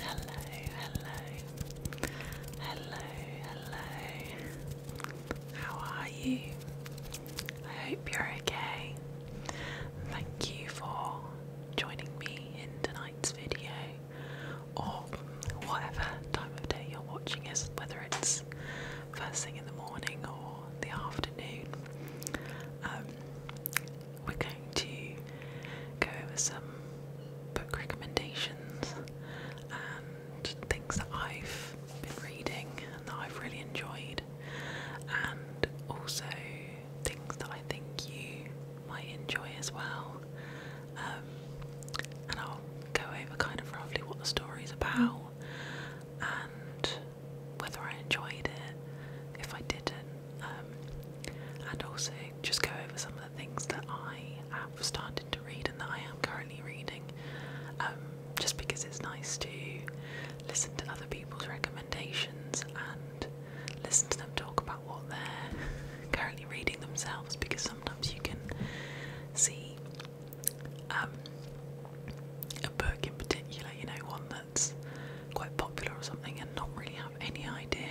Hello, hello, hello, hello. How are you? I hope you're okay. Thank you for joining me in tonight's video, or whatever time of day you're watching us, whether it's first thing in the morning or the afternoon. Um, we're going to go over some book recommendations and things that I've been reading and that I've really enjoyed, and also things that I think you might enjoy as well. Um, and I'll go over kind of roughly what the story's about and whether I enjoyed it, if I didn't, um, and also just go over some of the things that I have started to read and that I am currently reading, um, just because it's nice to listen to other people's recommendations and listen to them talk about what they're currently reading themselves, because sometimes you can see um, a book in particular, you know, one that's quite popular or something and not really have any idea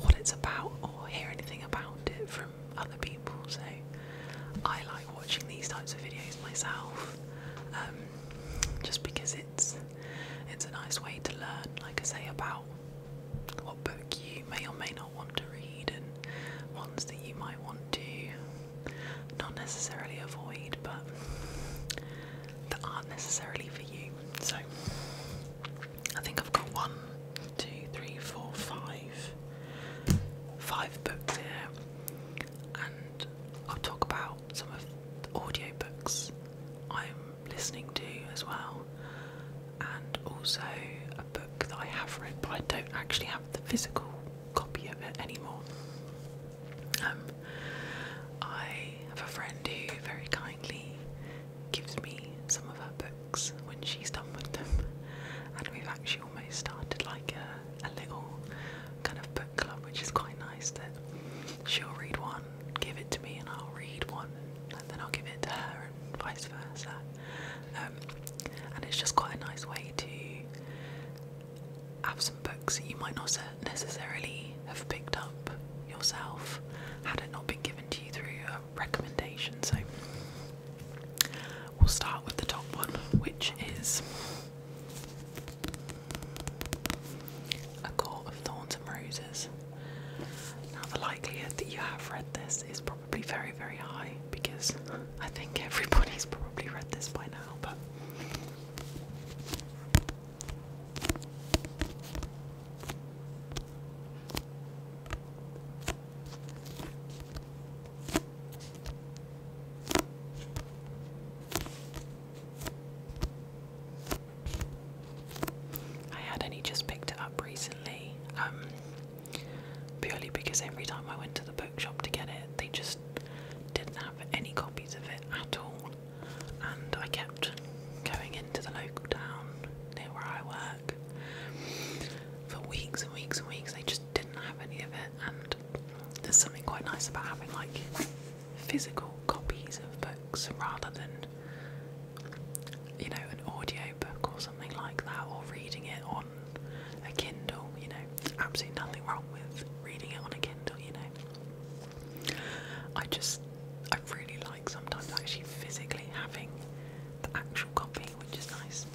what it's about or hear anything about it from other people. So I like watching these types of videos myself, um, just because it's it's a nice way to learn, like I say, about what book you may or may not want to read and ones that you might want to not necessarily avoid, but that aren't necessarily for you. So I think I've got one, two, three, four, five, five books here, and I'll talk about some of the audio books I'm listening to as well, and also a book that I have read, but I don't actually have the physical copy of it anymore. Um, I have a friend who very kindly gives me some of her books when she's done with them, and we've actually almost started like a, a little kind of book club, which is quite nice. That she'll read one, give it to me, and I'll read one, and then I'll give it to her, and vice versa. Um, and it's just quite a nice way to have some books that you might not necessarily have picked up yourself had it not been given to you through a recommendation. So we'll start with the top one, which is A Court of Thorns and Roses. Now, the likelihood that you have read this is probably very, very high because I think everybody's probably read this by now, but I had only just picked it up recently, um, purely because every time I went to the bookshop to get it, they just didn't have any copies of it at all and I kept going into the local town near where I work for weeks and weeks and weeks. They just didn't have any of it, and there's something quite nice about having like physical copies of books rather than you know an audio book or something like that, or reading it on a Kindle. You know, absolutely nothing wrong with reading it on a Kindle. You know. I just, I really like sometimes actually physically having the actual copy, which is nice.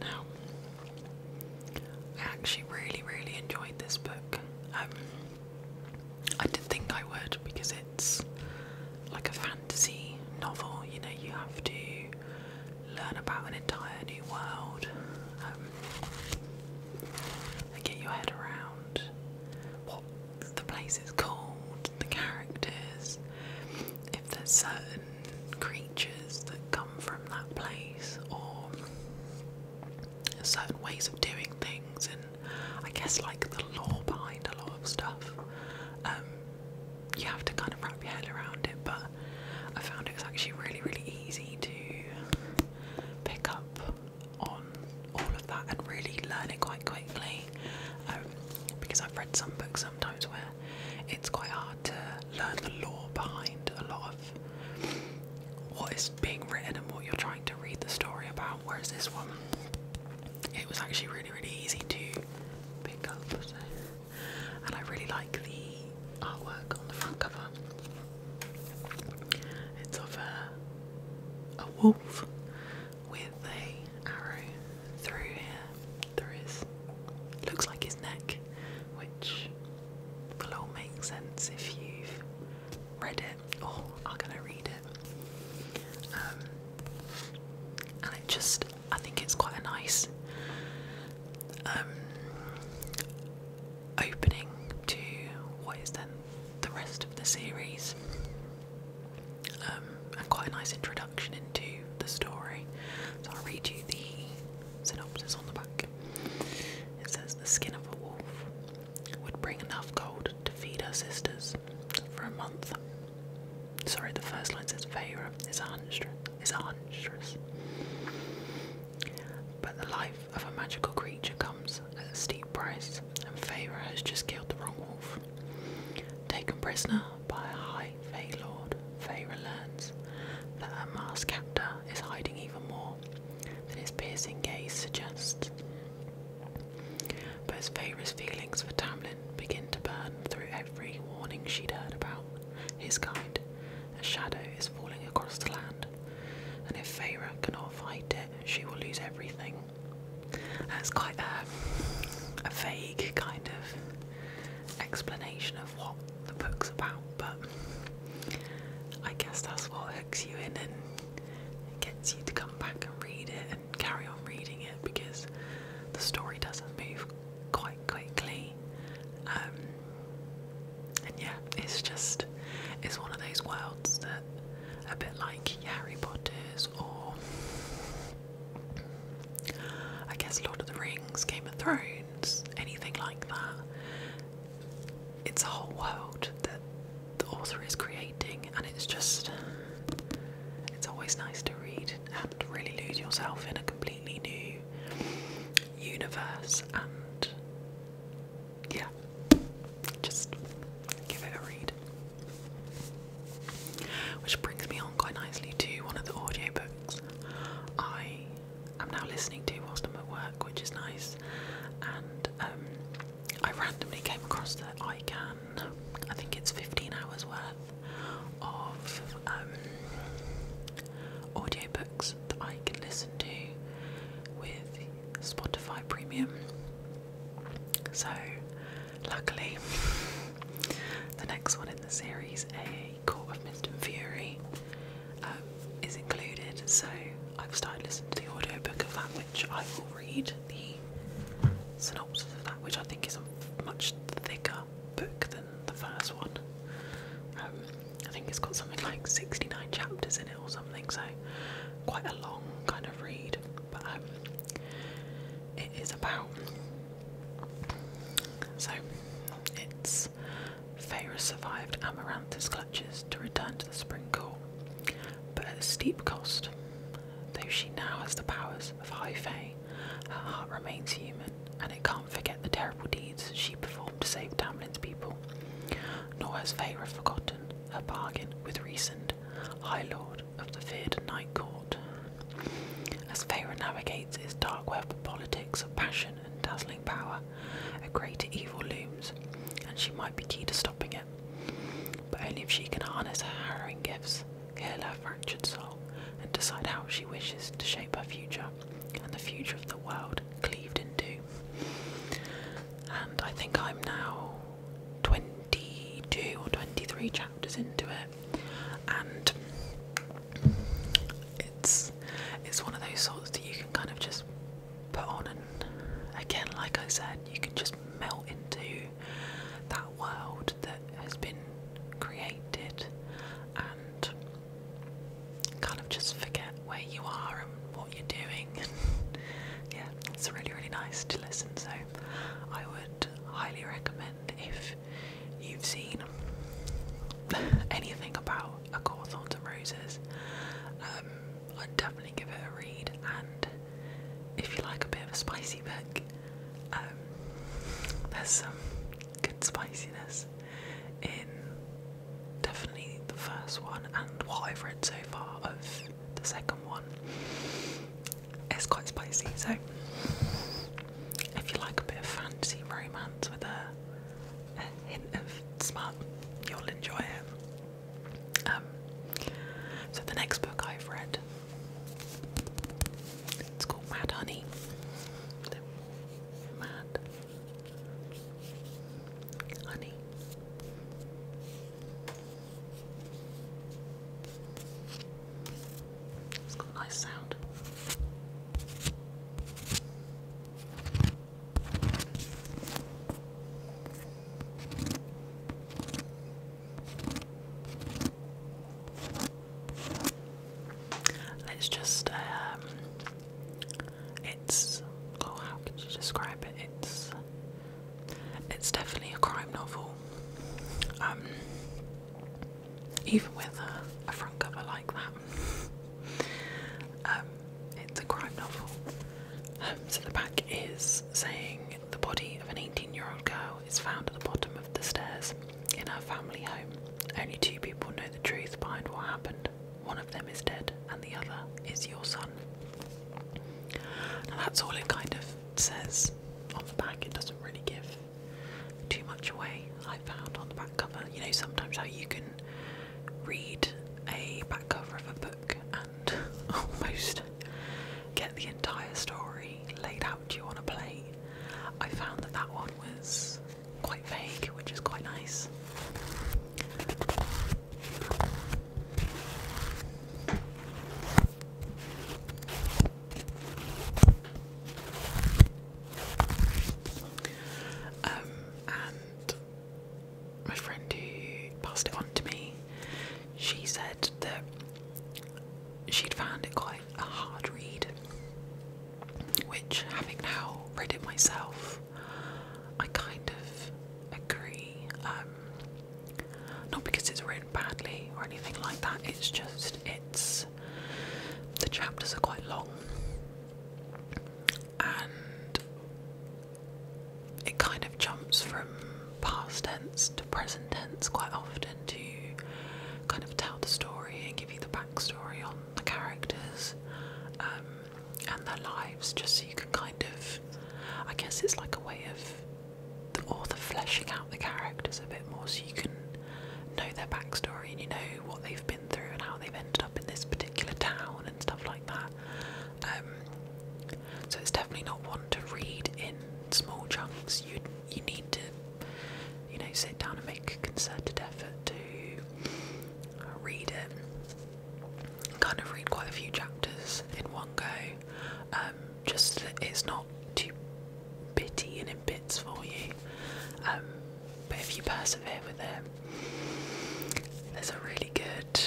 Now, I actually really, really enjoyed this book. Um, I didn't think I would because it's like a fantasy novel, you know, you have to learn about an entire new world. Um, get your head around what the place is called, the characters, if there's certain creatures that come from that place, or certain ways of doing things, and I guess like the law behind a lot of stuff. Um, you have to kind of wrap your head around it, but I found it was actually really, really easy to pick up on all of that and really learn it quite quickly um, because I've read some books sometimes where it's quite hard to learn the law behind a lot of what is being written and what you're trying to read the story about. Whereas this one, it was actually really, really easy to pick up, and I really like the artwork on the front cover. It's of a, wolf with a arrow through here, through looks like his neck, which will all make sense if you've read it, or are gonna read it. Um, and it just, I think it's quite a nice, um, opening to what is then the rest of the series, um, and quite a nice introduction into the story. So I'll read you the synopsis on the back. It says the skin of a wolf would bring enough gold to feed her sisters for a month. Sorry, the first line says Vera is a huntress. Is a huntress. But the life of a magical creature comes at a steep price, and Feyre has just killed the wrong wolf. Taken prisoner by a high Fey Lord, Feyre learns that her masked captor is hiding even more than his piercing gaze suggests. But as Feyre's feelings for Tamlin begin to burn through every warning she'd heard about his kind, a shadow is falling across the land, and if Feyre cannot fight it, she will lose everything. That's quite a, vague kind of explanation of what the book's about, but I guess that's what hooks you in and gets you to come back and read it and carry on reading it because the story doesn't move quite quickly. Um, and yeah, it's just it's one of those worlds that a bit like Harry Potter's or I guess Lord of the Rings, Game of Thrones, anything like that. It's a whole world that the author is creating and it's just it's always nice to read and really lose yourself in a completely new universe and yeah, just give it a read. Which brings me on quite nicely to one of the audiobooks I am now listening to whilst I'm at work, which is nice. And um, I randomly came across that I can, I think it's 15 hours worth of um, audiobooks that I can listen to with Spotify Premium. So, luckily, the next one in the series, A Court of Mist and Fury, um, is included. So, I've started listening to the audio book of that, which I will read the synopsis of that, which I think is a much thicker book than the first one. Um, I think it's got something like 69 chapters in it or something, so quite a long kind of read. But um, it is about. So it's Feyre survived Amaranth's clutches to return to the Spring Court, but at a steep cost. Though she now has the powers of High Fae, her heart remains human and it can't forget the terrible deeds she performed to save Tamlin's people, nor has Feyre forgotten her bargain with recent High Lord of the feared Night Court. As Feyre navigates its dark web of politics of passion and dazzling power, a greater evil looms, and she might be key to stopping it. But only if she can harness her harrowing gifts, heal her fractured soul, and decide how she wishes to shape her future and the future of the world cleaved in two. And I think I'm now 22 or 23 chapters into it, and it's it's one of those sorts that you can kind of just put on, and again, like I said, you can just melt into that world that has been created and kind of just forget where you are and what you're doing. And yeah, it's really, really nice to listen. So I would highly recommend if you've seen anything about A Court and Roses, um, I'd definitely give it a read. And if you like a bit of a spicy book, um, there's some good spiciness in definitely the first one and what I've read so far of the second one. It's quite spicy, so if you like a bit of fantasy romance with a, hint of smut, you'll enjoy it. Um, so the next book I've read, it's called Mad Honey. Mad honey. It's got a nice sound. Let's just um, it's oh, how could you describe it? It's it's definitely a crime novel. Um, even with a, front cover like that, um, it's a crime novel. Um, so the back is saying the body of an 18-year-old girl is found at the bottom of the stairs in her family home. Only two people know the truth behind what happened. One of them is dead, and the other is your son. Now, that's all it kind of says on the back. It doesn't really give too much away, I found, on the back cover. You know, sometimes how you can read a back cover of a book and almost get the entire story laid out to you on a plate. I found that that one was quite vague, which is quite nice. Um, and my friend who passed it on to me, she said that she'd found it quite a hard read which having now read it myself, I kind of agree. Um, not because it's written badly or anything like that, it's just it's the chapters are quite long and it kind of jumps from past tense to present tense quite often to kind of tell the story and give you the backstory on the characters um, and their lives, just so you can kind of, I guess it's like a way of the author fleshing out the characters a bit more, so you can know their backstory and you know what they've been through and how they've ended up in this particular town and stuff like that. Um, so it's definitely not one to read in small chunks. You you need to you know sit down and make a concerted effort to read it, kind of read quite a few chapters in one go, um, just that it's not too pitty and in bits for you. Um, but if you persevere with it, there's a really good.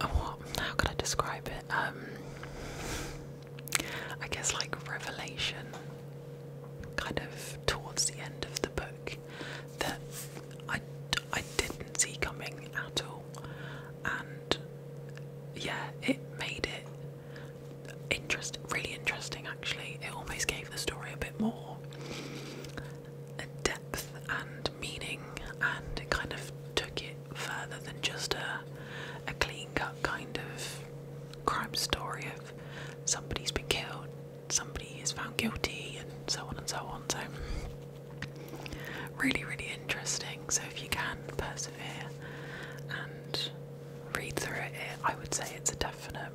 Oh, how could I describe it? Um, I guess like revelation kind of towards the end of the book that I, I didn't see coming at all. And yeah, it made it interest really interesting actually. It almost gave the story a bit more depth and meaning and it kind of took it further than just a a clean cut kind of crime story of somebody's been killed somebody is found guilty and so on and so on. So, really, really interesting. So, if you can persevere and read through it, I would say it's a definite,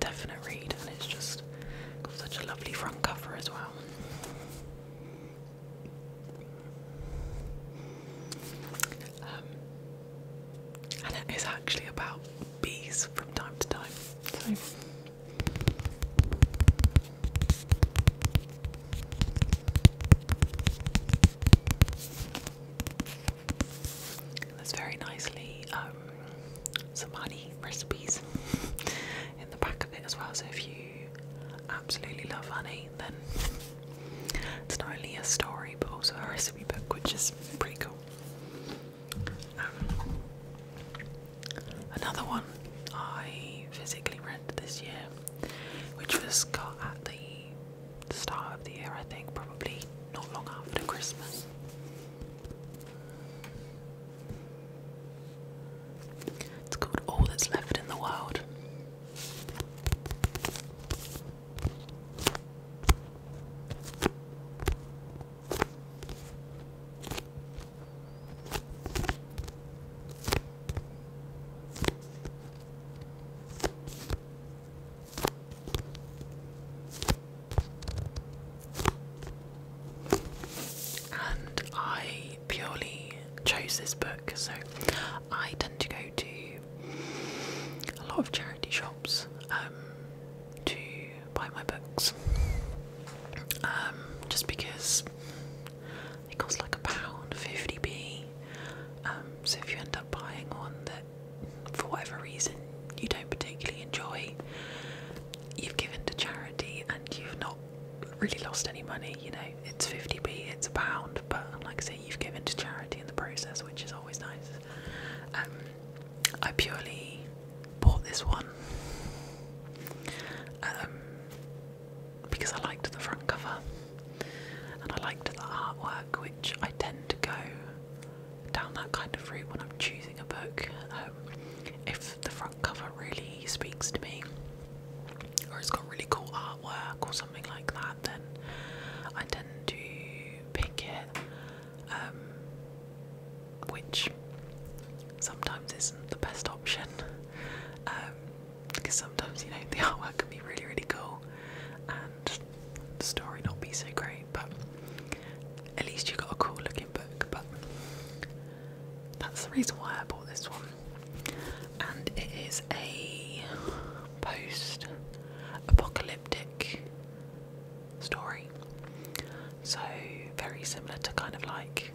definite read, and it's just got such a lovely front cover as well. Um, and it is actually about bees from time to time. So. There's very nicely um, some honey recipes in the back of it as well. So if you absolutely love honey, then it's not only a story but also a recipe book, which is pretty cool. Um, another one I physically read this year, which was got at the start of the year, I think, probably not long after Christmas. It's called All That's Left in the World. And I purely chose this book, so I tend to go to a lot of charity shops um, to buy my books um, just because they cost like a pound 50p um, so if you end up buying one that for whatever reason you don't particularly enjoy you've given to charity and you've not really lost any money you know it's 50p it's a pound but like I say you've given to charity in the process which is always nice I purely bought this one um, because I liked the front cover and I liked the artwork, which I tend to go down that kind of route when I'm choosing a book. Um, if the front cover really speaks to me, or it's got really cool artwork or something like that, then I tend to pick it. Um, which sometimes isn't the best option um, because sometimes you know the artwork can be really really cool and the story not be so great but at least you got a cool looking book but that's the reason why I bought this one and it is a post apocalyptic story. So, very similar to kind of like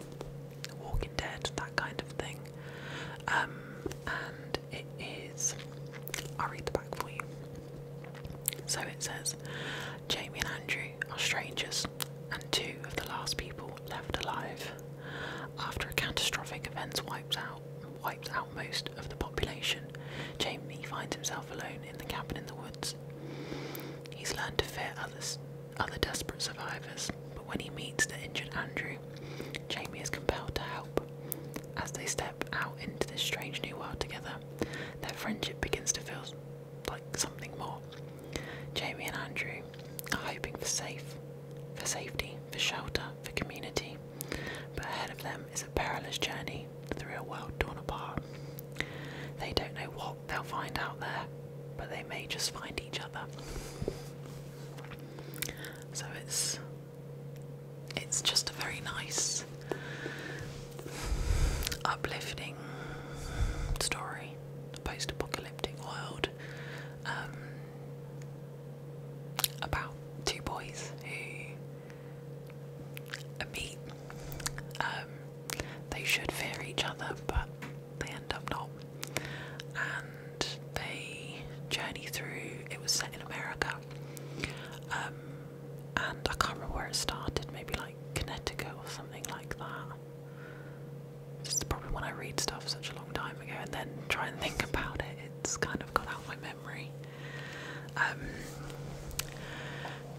Walking Dead, that kind of thing. Um, and it is, I'll read the back for you. So it says Jamie and Andrew are strangers and two of the last people left alive. After a catastrophic event wipes out wipes out most of the population, Jamie finds himself alone in the cabin in the woods. He's learned to fear others, other desperate survivors, but when he meets the injured Andrew, Jamie is compelled to help. As they step out into this strange new world together, their friendship begins to feel like something more. Jamie and Andrew are hoping for safe, for safety, for shelter, for community, but ahead of them is a perilous journey see the real world torn apart. They don't know what they'll find out there, but they may just find each other. So it's it's just a very nice uplifting story. Post-apocalyptic world um, about two boys a meet. Um, they should fear each other, but they end up not. And they journey through. It was set in America, um, and I can't remember where it started. Maybe like Connecticut or something like that. It's probably when I read stuff such a long time ago and then try and think about it, it's kind of got out of my um,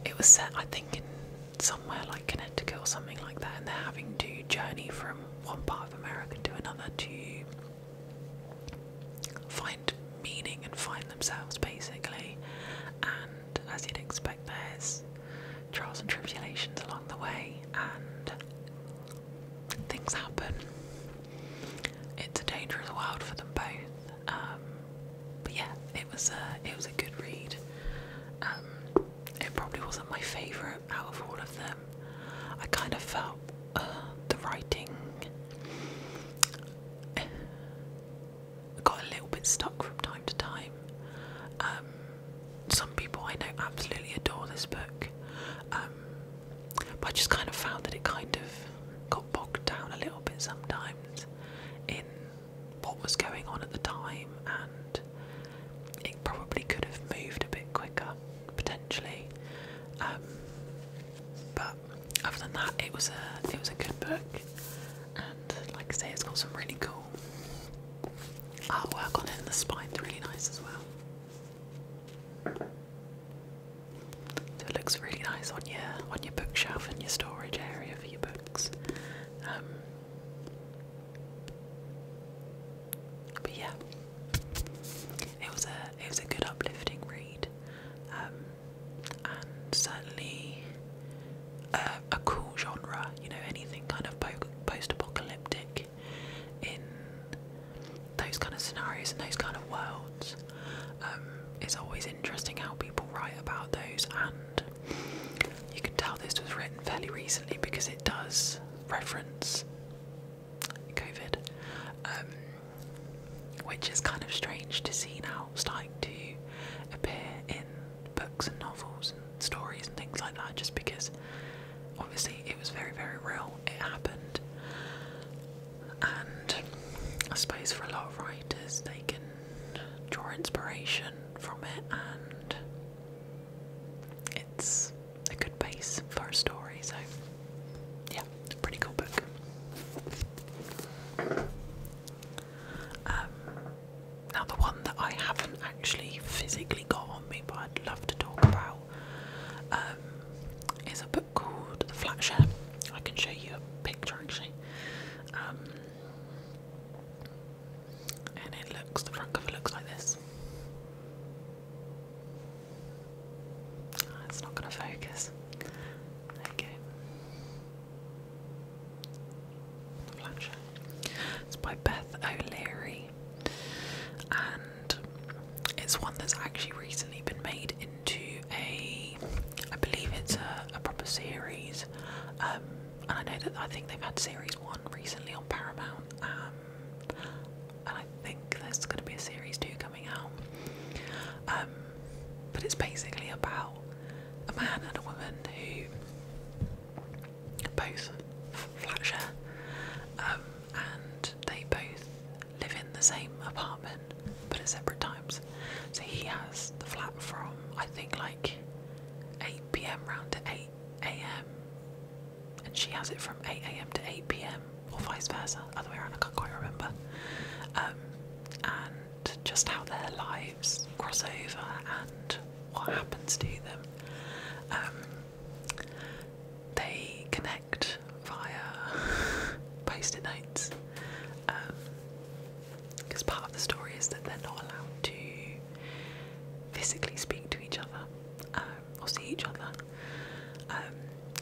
it was set, I think, in somewhere like Connecticut or something like that, and they're having to journey from one part of America to another to find meaning and find themselves, basically. And as you'd expect, there's trials and tribulations along the way, and things happen. It's a dangerous world for them both. Um, but yeah, it was a it was a good read. Um, it probably wasn't my favourite out of all of them. I kind of felt uh, the writing got a little bit stuck from time to time. Um, some people I know absolutely adore this book. But I just kind of found that it kind of got bogged down a little bit sometimes in what was going on at the time, and it probably could have moved a bit quicker potentially. Um, but other than that, it was a it was a good book, and like I say, it's got some really cool artwork on it, and the spine's really nice as well. So it looks really nice on your on your bookshelf and your storage area for your books. Um, but yeah, it was a it was a good uplifting read, um, and certainly uh, a, cool genre. You know, anything kind of post apocalyptic in those kind of scenarios and those kind of worlds. Um, it's always interesting how people write about those, and you can tell this was written fairly recently because it does reference COVID, um, which is kind of strange to see now starting to appear in books and novels and stories and things like that, just because obviously it was very, very real, it happened and I suppose for a lot of writers, they can draw inspiration from it, and it's a good base for a story. So, yeah, it's a pretty cool book. Um, now, the one that I haven't actually physically got on me, but I'd love to talk about um, it's a book called The Flatshare. I can show you a picture actually. Um, and it looks, the front cover looks like this. It's not going to focus. There you go. Flash. It's by Beth O'Leary, it's one that's actually recently been made into a, I believe it's a, proper series. Um, and I know that I think they've had series one recently on Paramount, um, and I think there's going to be a series two coming out. Um, but it's basically about a man and a woman who both flat and they both live in the same apartment but at separate times. So he has the flat from I think like 8 pm round to 8 am, and she has it from 8 am to 8 pm, or vice versa, other way around, I can't quite remember. Um, and just how their lives cross over and what happens to them. Um, they connect via post-it notes. Because um, part of the story is that they're not allowed to physically speak to each other um, or see each other. Um,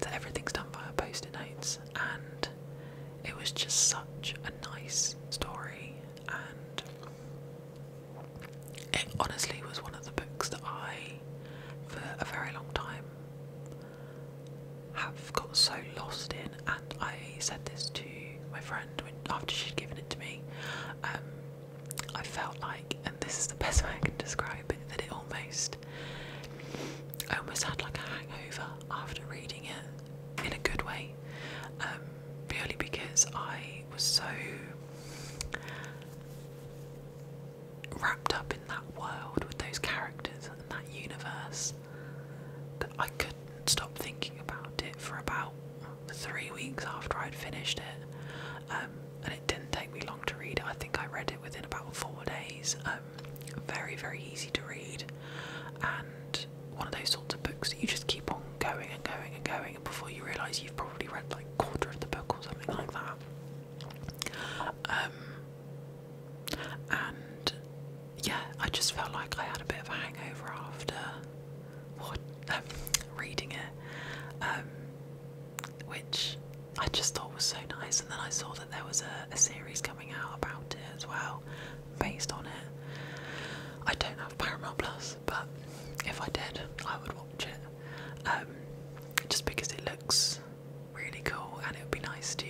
so everything's done via post-it notes, and it was just such a nice story, and it honestly was one of the books that I, for a very long time, have got so lost in, and I said this to my friend after she'd given it to me. Um, I felt like, and this is the best way I can describe it, that it almost, I almost had like a hangover after reading it in a good way, um, purely because I was so wrapped up in that world with those characters and that universe that I couldn't stop thinking about it for about three weeks after I'd finished it. Um, and it didn't take me long to read it. I think I read it within about four days. Um, very, very easy to read. And one of those sorts of books that you just keep on going and going and going, and before you realise you've probably read like a quarter of the book or something like that. Um, and yeah, I just felt like I had a bit of a hangover after what, um, reading it, um, which I just thought was so nice. And then I saw that there was a, series coming out about it as well, based on it. I don't have Paramount Plus, but if I did, I would watch it. just because it looks really cool, and it would be nice to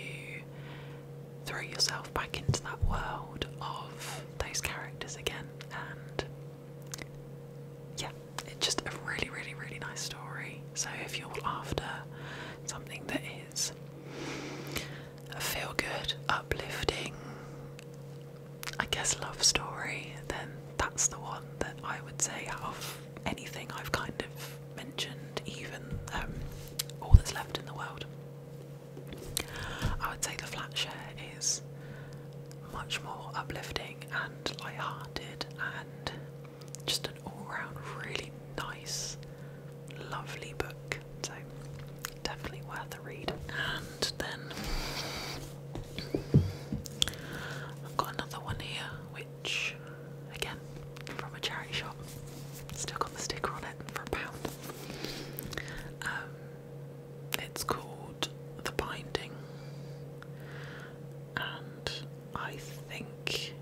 throw yourself back into that world of those characters again. And yeah, it's just a really, really, really nice story. So if you're after something that is a feel good, uplifting, I guess, love story, then that's the one that I would say out of anything I've kind of mentioned, even um, all that's left in the world. I would say the flat share is much more uplifting and light-hearted and just an all-round really nice, lovely book. So definitely worth a read. And then I've got another one here, again from a charity shop. Still got the sticker on it for a pound. Um, it's called The Binding, and I think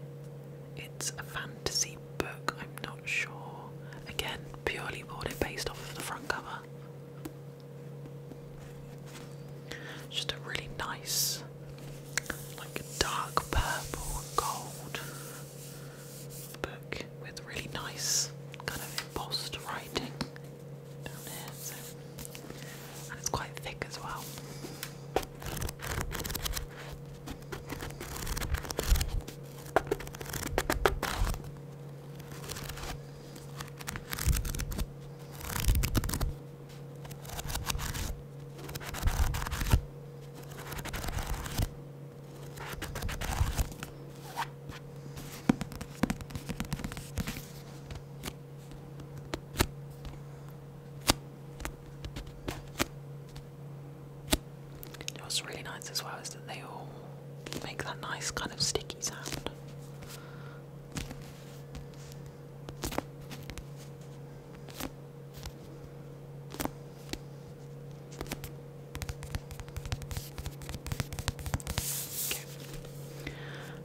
it's a fantasy book. I'm not sure. Again, purely bought it based off of the front cover. just a really nice like a dark purple and gold book with really nice kind of embossed writing down here. So. And it's quite thick as well. What's really nice as well is that they all make that nice kind of sticky sound.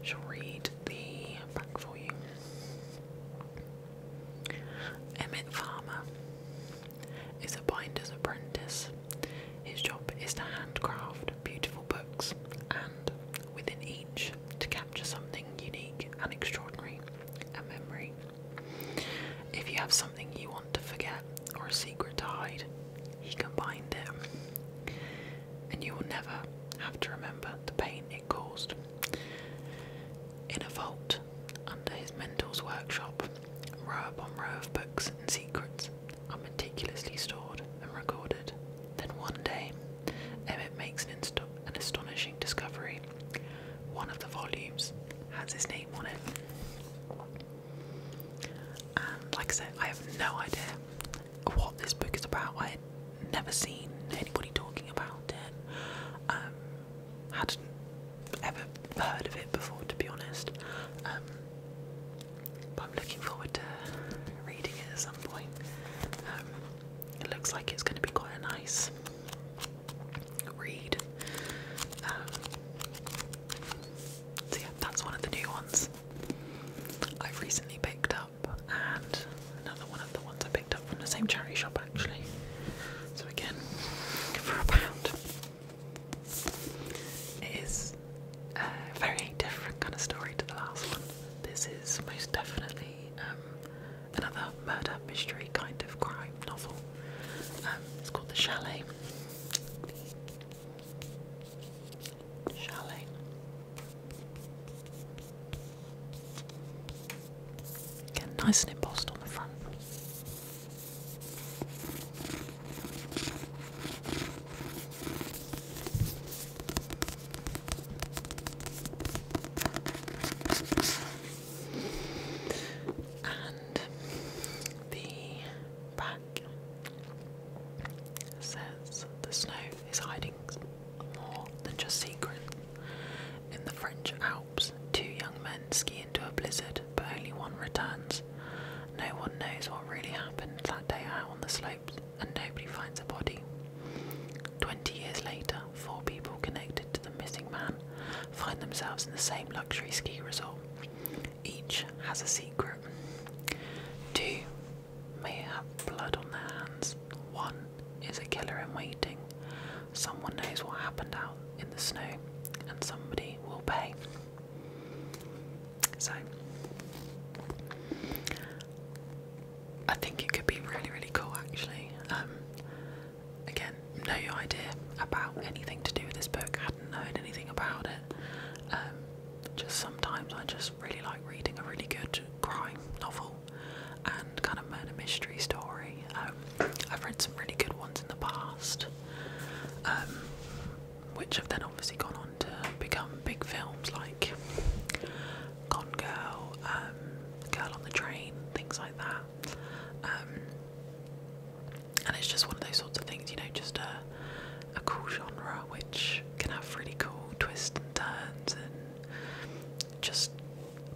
She'll read the back for you. Emmett Farmer is a binder's apprentice. His job is to handcraft beautiful books and, within each, to just something unique and extraordinary, a memory. If you have something you want to forget or a secret to hide, you can bind it, and you will never have to remember the pain it caused. In a vault under his mentor's workshop, row upon row of books and secrets are meticulously stored and recorded then one day, Emmett makes an, astonishing discovery. One of the volumes has his name on it. And like I said, I have no idea what this book is about. I had never seen anybody talking about it. Um, hadn't ever heard of it before, to be honest. Um, but I'm looking forward to reading it at some point. Um, it looks like it's going to be quite a nice read. Um, so, yeah, that's one of the new ones I've recently picked up, and another one of the ones I picked up from the same charity shop actually. So, again, for a pound. It is a very different kind of story to the last one. This is most definitely um, another murder mystery kind of crime novel. Um, it's called The Chalet. Chalet. Again, nice and embossed on the front. And the back says the snow is hiding more than just secrets. In the French Alps, two young men ski into a blizzard, but only one returns. No one knows what really happened that day out on the slope and nobody finds a body. Twenty years later, four people connected to the missing man find themselves in the same luxury ski resort. Each has a secret. Two may have blood on their hands. One is a killer in waiting. Someone knows what happened out in the snow, and somebody will pay. So, I think it could be really, really cool actually. Um, again, no idea about anything to do with this book, hadn't known anything about it. Um, just sometimes I just really like reading a really good crime novel and kind of murder mystery story. Um, I've read some really good ones in the past, which have then obviously gone on to become big films like Gone Girl, um, Girl on the Train, things like that. Um, and it's just one of those sorts of things, you know, just a, a cool genre which can have really cool twists and turns and just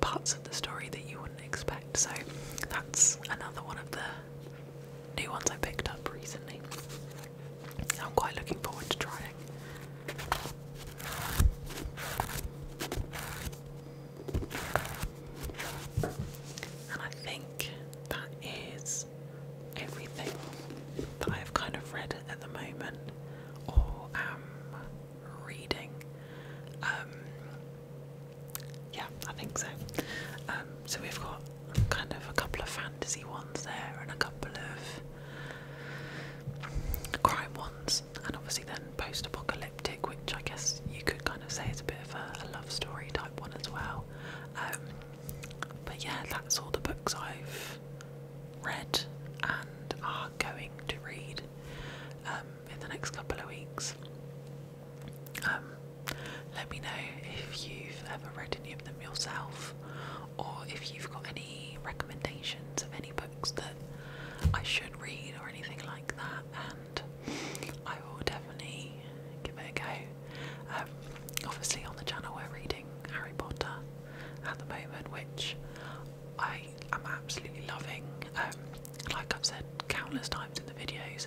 parts of the story that you wouldn't expect. So that's another one of the new ones I picked up recently. I'm quite looking forward to trying. And I think that is everything that I've kind of read at the moment or am reading. Um, yeah, I think so. Um, so we've got kind of a couple of fantasy ones there and a couple of crime ones, and obviously then post apocalyptic, which I guess you could kind of say is a bit of a, love story type one as well. Um, but yeah, that's all the books I've read and are going to read um, in the next couple of weeks. Um, let me know if you've ever read any of yourself, or if you've got any recommendations of any books that I should read or anything like that, and I will definitely give it a go. Um, obviously, on the channel, we're reading Harry Potter at the moment, which I am absolutely loving. Um, like I've said countless times in the videos,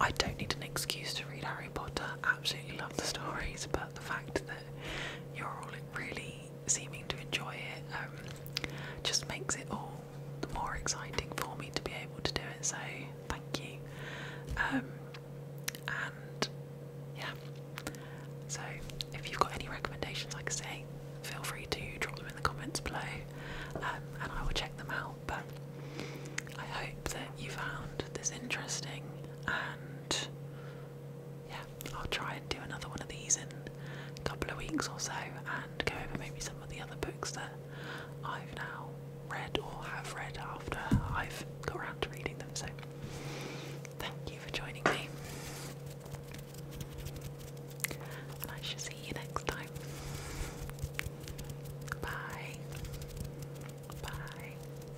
I don't need an excuse to read Harry Potter. Absolutely love the stories, but the fact that you're all really seeming to enjoy it um, just makes it all the more exciting for me to be able to do it. So thank you. Um, and yeah, so if you've got any recommendations, like I say, feel free to drop them in the comments below, um, and I will check them out. But I hope that you found this interesting and yeah, I'll try and do another one of these in a couple of weeks or so and go over maybe some of the other books that I've now read or have read after I've got around to reading them. So, thank you for joining me. And I shall see you next time. Bye. Bye.